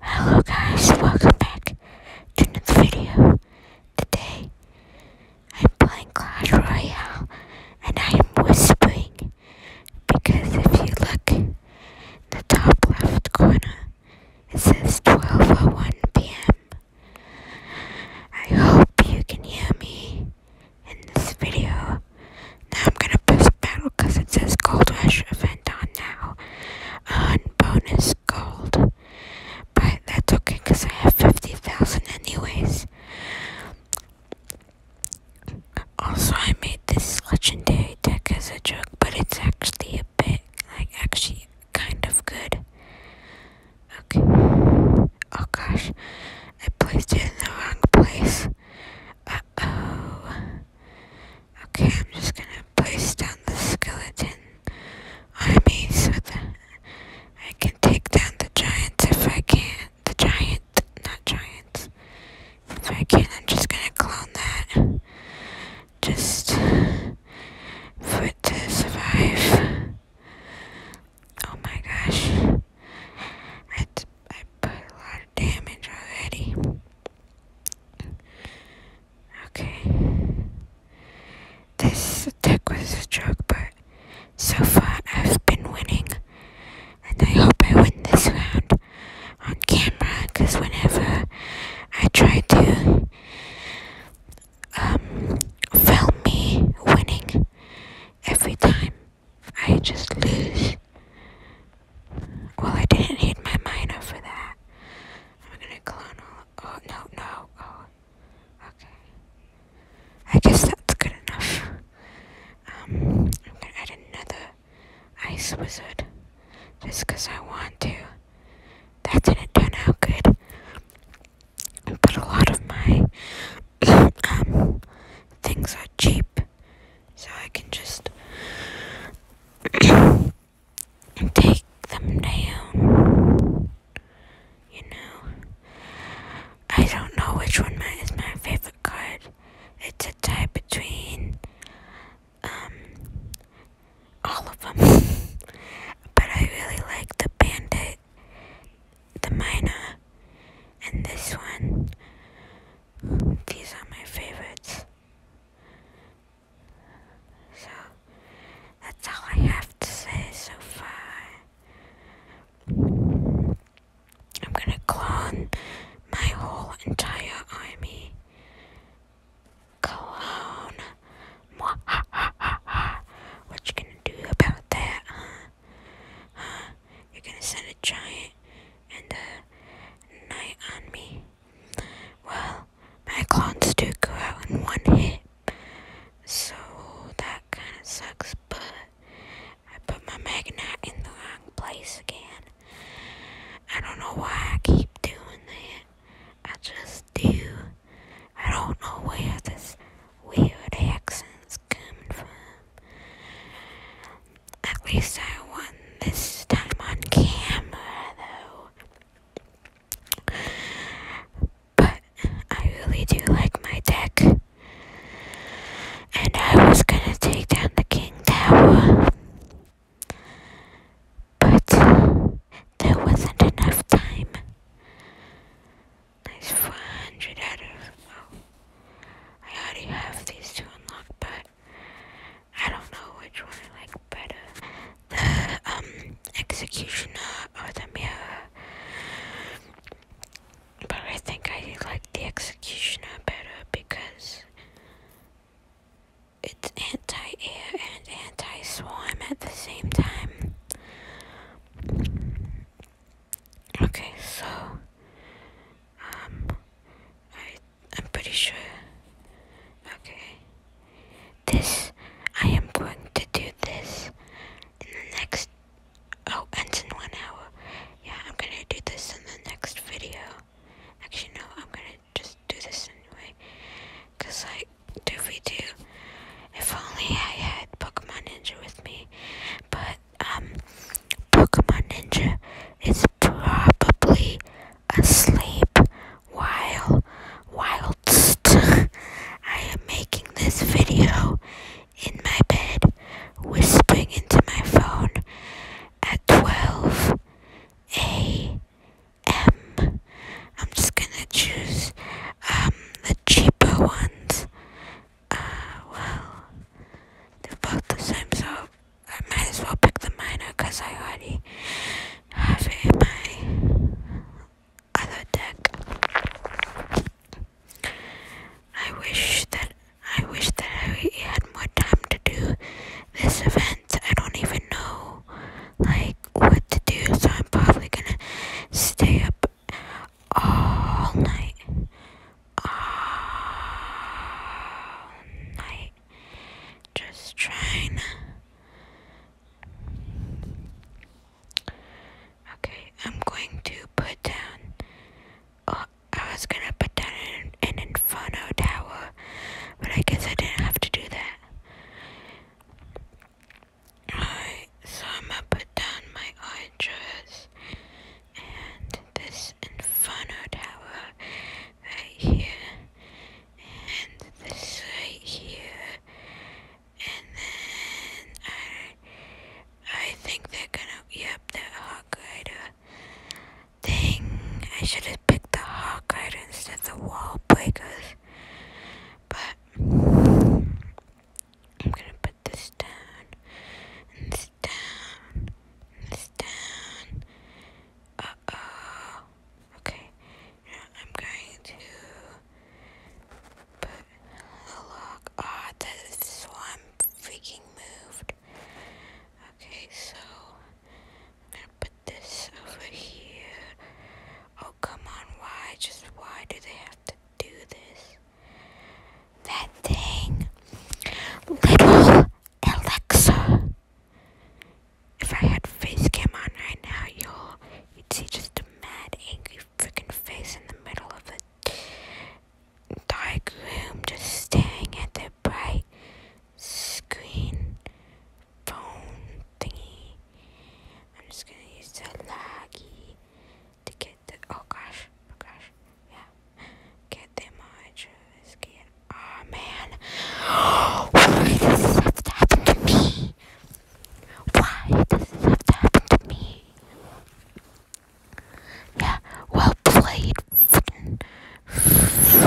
Hello guys, welcome back to another video. Today, I'm playing Clash Royale, and I am whispering, because if you look in the top left corner, it says 12.01 p.m. I hope you can hear me in this video. Now I'm gonna press battle because it says Gold Rush event on now on bonus gold. But that's okay because I have 50,000 anyways. Also, I made this legendary deck as a joke, but it's actually a bit, like, actually kind of good. Okay. Oh gosh, I placed it in the wrong place. Uh oh. Okay, I'm just gonna place down the skeleton I mean, so that I can take down the giants if I can. not The giant, not giants. If I can, not I'm just gonna clone that. Just for to survive. Oh my gosh. I, I put a lot of damage already. Okay. This attack was a joke, but so far I've been winning. And I hope I win this round on camera, because whenever I try to um, film me winning, every time I just lose. Well, I didn't hit my miner for that. I'm gonna clone all. Oh, no, no. Oh, okay. I guess that's good enough. Um, I'm gonna add another ice wizard just I want to. That didn't turn out good. But a lot of my um, things are cheap so I can just take them down. You know, I don't know which one is my favorite card. It's a tie between um all of them, but I really like the bandit, the miner, and this one. These are my favorites. So that's all I have to say so far. I'm gonna clone my whole entire army. Clone. What you gonna do about that, You're gonna send a giant and the night on me. Well, my clones do go out in one hit, so that kind of sucks, but I put my magnet in the wrong place again. I don't know why I keep doing that. I just do. I don't know where this weird accent's coming from. At least I won this time on camera, though. But I really do like my deck. And I was gonna take down the King Tower. But there wasn't enough time. Nice 400 out of. Oh, I already have these two unlocked, but I don't know which one I like better. The um, executioner or the mirror. But I think I like the executioner better because it's anti-air and anti-swarm at the same time. Okay, so um I I'm pretty sure. Okay. This, I am going to do this in the next, oh, ends in one hour. Yeah, I'm gonna do this in the next video. Actually, no, I'm gonna just do this anyway. Cause like, do we do, if only I had Pokemon Ninja with me. But, um, Pokemon Ninja is probably asleep while whilst I am making this video in my bed, whispering into my phone at 12 a.m. I'm just gonna choose um, the cheaper ones. Uh, well, they're both the same, so I might as well pick the minor, because I already have it in my other deck. I wish that I wish that I had more time to do this event. I don't even know like what to do, so I'm probably gonna stay up all night all um, night just trying Okay, I'm going to put down. Oh, I was gonna put down an, an inferno tower, but I guess I didn't have to do that. Alright, so I'm gonna put down my oranges, and this this inferno tower right here and this right here and then I I think they're gonna yep that hawk rider thing. I should have picked the hawk rider instead of the wall breakers. But I'm gonna put this down down, this down. Uh oh. Okay. Now I'm going to put the log. Ah, this one freaking moved. Okay, so I'm gonna put this over here. Oh, come on, why? Just why do they have to do this? that thing, little Alexa. If I had face cam on right now, you'll you'd see just a mad, angry freaking face in the middle of the dark just staring at the bright screen phone thingy. I'm just gonna use the laggy to get oh gosh, oh gosh, yeah, get the much skin. Oh man, why does this have to happen to me? Why does this have to happen to me? Yeah, well played, figures.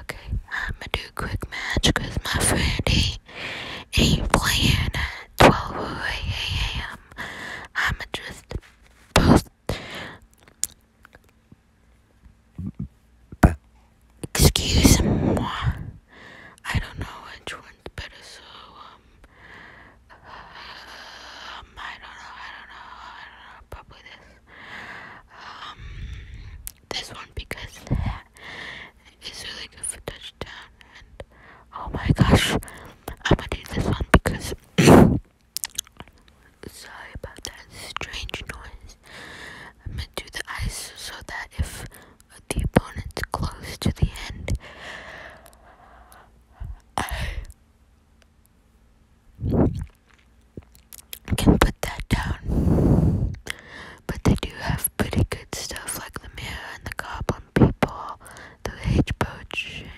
okay, I'ma do quick match cause my friend ain't playing. Uh, 12 a.m. am just post. Excuse me. I don't know which one's better, so um, um, I don't know, I don't know, I don't know. Probably this, um, this one because that is really good for touchdown and. Oh my gosh, I'm gonna do this one because sorry about that strange noise. I'm gonna do the ice so that if the opponent's close to the end, I can put that down. But they do have pretty good stuff like the mirror and the goblin people the H potion,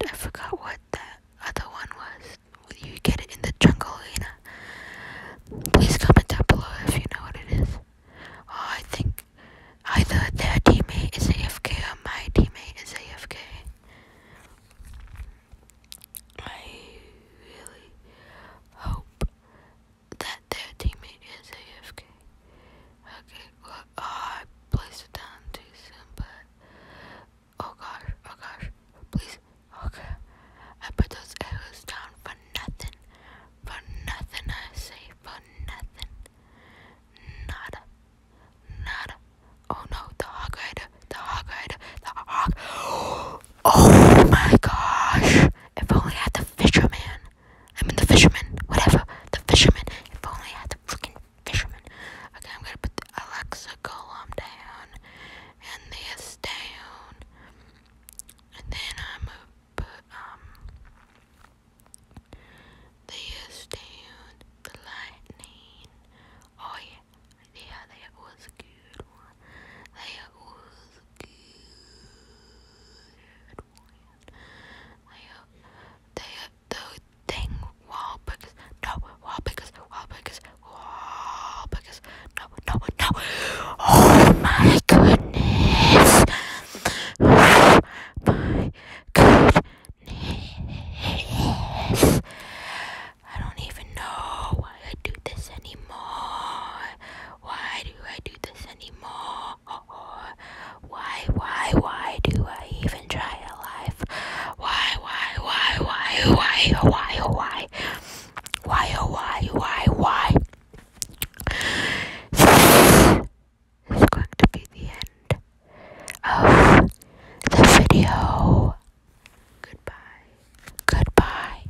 and I forgot what that other one was. You get it in the jungle, you know. Please comment down below if you know what it is. Oh, I think either their teammate is AFK or my teammate is AFK. I really hope that their teammate is AFK. Okay, well, oh, I placed it down too soon, but oh gosh, oh gosh, please, okay. I put those arrows down for nothing, for nothing. I say for nothing, nada, nada. Oh no, the hog rider, the hog rider, the hog. Oh my gosh! If only I had the fisherman. I mean the fisherman, whatever. The fisherman. If only had the freaking fisherman. Okay, I'm gonna put Alexa column down and this down. And then I'm gonna put um this down, the lightning. Oh yeah. Yeah, that was good That was good they the thing wall because no wall because wall because wall because no no no Oh my goodness my goodness I don't even know why I do this anymore. Why do I do this anymore. Why, why, why do I even try a life? Why, why, why, why, why, why, why, why, oh, why, why, why? This is going to be the end of the video. Goodbye. Goodbye.